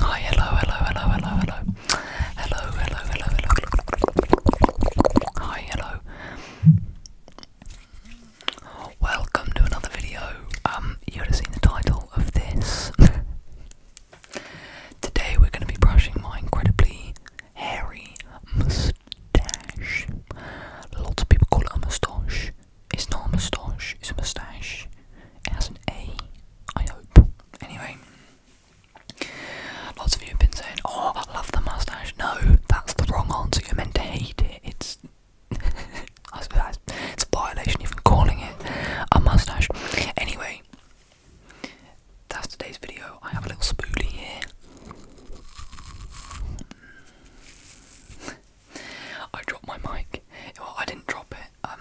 Hi, oh, hello, hello, hello, hello, hello. Hello, hello, hello, hello. Hi, hello. Welcome to another video. Um, you would have seen the title of this. Today we're going to be brushing my incredibly hairy moustache. Lots of people call it a moustache. It's not a moustache, it's a moustache. It has an A I hope. Anyway, lots of you have been saying, "Oh, I love the mustache." No, that's the wrong answer. You're meant to hate it. It's it's a violation even calling it a mustache. Anyway, that's today's video. I have a little spoolie here. I dropped my mic. Well, I didn't drop it. Um,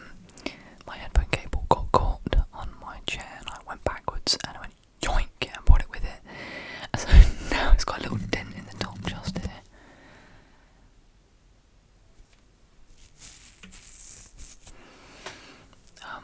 my headphone cable got caught on my chair, and I went backwards and I went yoink and brought it with it. so now it's got a little dent in the top just here. Um,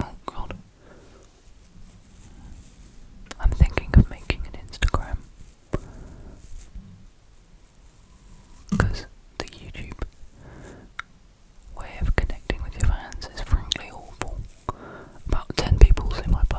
Oh god. I'm thinking of making an Instagram. Because the YouTube way of connecting with your fans is frankly awful. About 10 people see my post.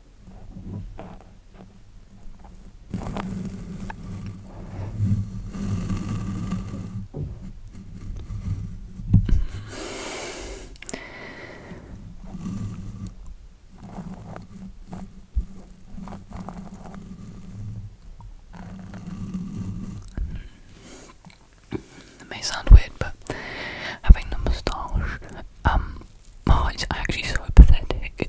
It may sound weird, but having the moustache um Oh, it's actually so pathetic.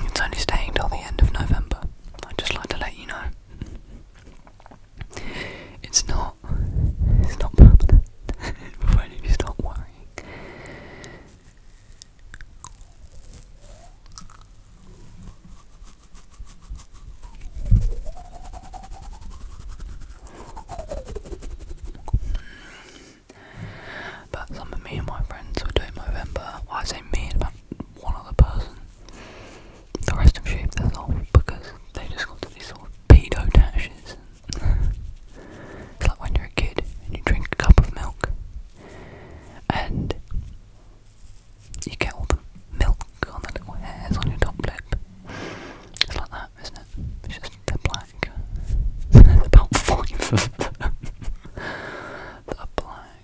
It's only staying till the end of November. I'd just like to let you know. It's not. It's not permanent. when you stop worrying. But some of me and my friends were doing November. Well, say me about like one other person. The rest of sheep they're off because they just got to these sort of pedo dashes. it's like when you're a kid and you drink a cup of milk and you get all the milk on the little hairs on your top lip. It's like that, isn't it? It's just they're black. There's about five of them that are black.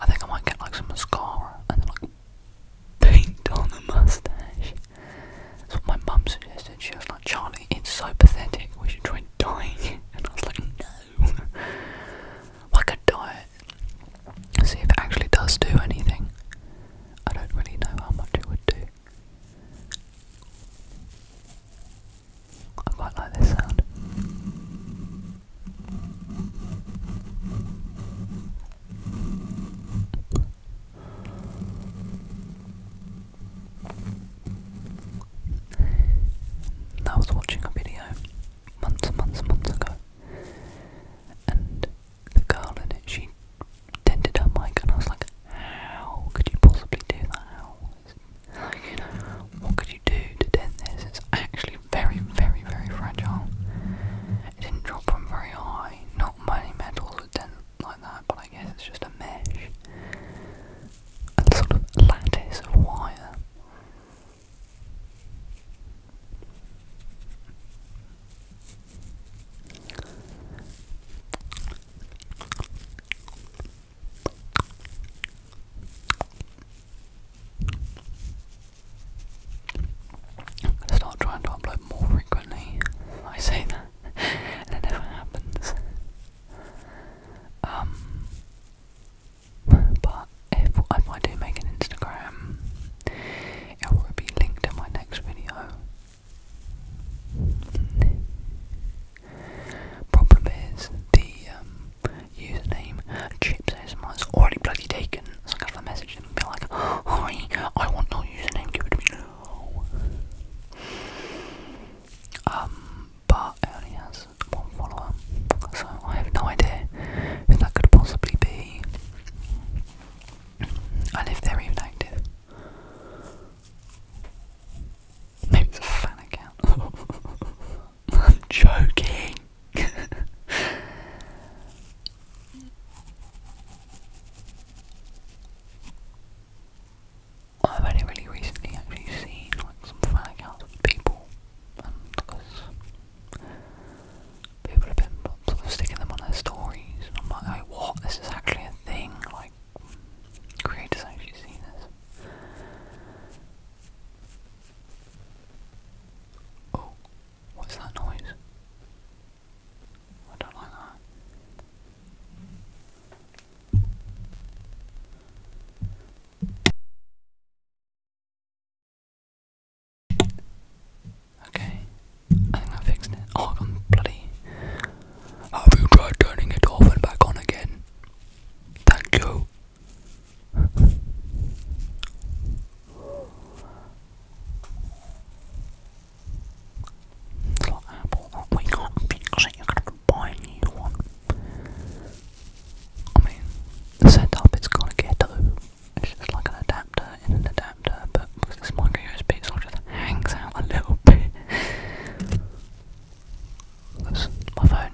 I think I might get like some mascara and then like paint on the mustache. That's what my mum suggested. She was like, Charlie, it's so pathetic, we should try dyeing it. And I was like, no. I could dye it. See if it actually does do anything. I don't really know how much it would do. I quite like this sound. I was watching a video months and months and months ago, and the girl in it, she dented her mic, and I was like, How could you possibly do that? what could you do to dent this? It's actually very, very, very fragile. It didn't drop from very high. Not many metals would dent like that, but I guess it's just a mesh. A sort of lattice of wire. I'm start trying to upload more frequently. I say that, and it never happens. Um, but if, I do make an Instagram, it will be linked in my next video. Problem is, the um, username Chips is already bloody taken. So I have a message them and be like, Hi, I want your username, give it to me now. Um, but it has one follower, so I have no idea if that could possibly be. And if they even active. Maybe it's a fan account. I'm joking. I've only really recently actually seen like some fan accounts people, and because people have been sort of sticking them on their stories, and I'm like, what? This is actually a thing. Like, creators actually see this. Oh, what's that noise? I don't like that. Okay, I think I fixed it. Oh, i bloody. Have you tried turning it off and back on again? Thank you. Little apple, we can't fix it. You're gonna buy a new one. I mean, the setup is kind of ghetto. It's just like an adapter in an adapter, but because micro USB, sort of hangs out a little bit. Because my phone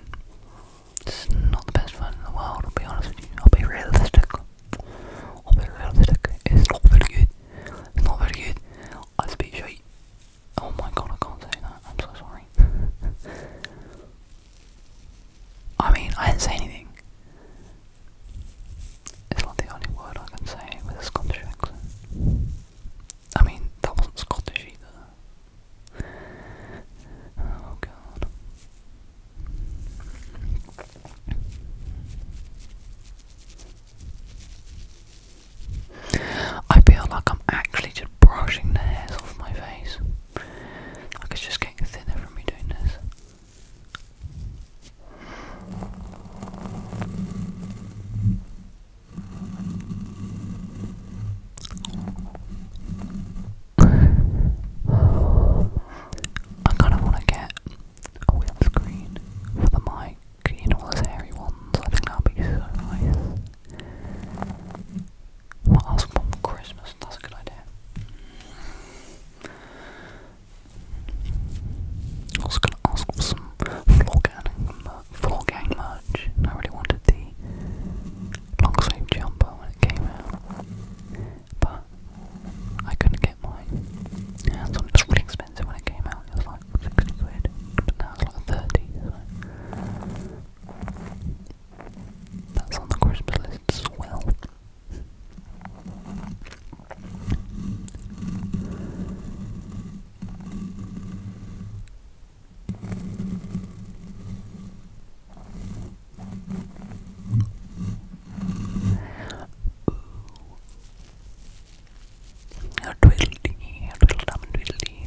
is not the best phone in the world, I'll be honest with you. I'll be realistic. I'll be realistic. It's not very good. It's not very good. I speak straight. Oh my god, I can't say that. I'm so sorry. I mean, I didn't say anything. It's not the only word I can say with a Scottish accent. I mean, that wasn't Scottish either. Oh god. I feel like I'm actually just brushing the hairs off my face. Like it's just getting thinner from me doing this. I kind of want to get a windscreen for the mic, you know, those hairy ones. I think that'd be so nice. What else for Christmas? That's a good idea. I was gonna ask for some floor but full gang merch, I really wanted the long sleeve jumper when it came out, but I couldn't get mine. it was really expensive when it came out, it was like 60 quid, but now it's like 30, That's on the Christmas list well. Twiddly, twiddledum and twiddly.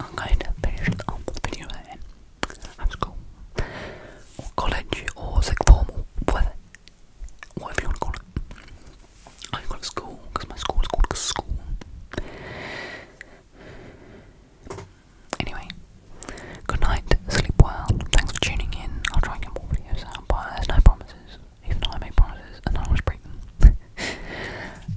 I'm going to finish the video in high school, or college, or sixth form, or whatever, you want to call it. I call it school because my school is called school. Anyway, good night, sleep well. Thanks for tuning in. I'll try and get more videos out, but there's no promises. Even I make promises, I always break them.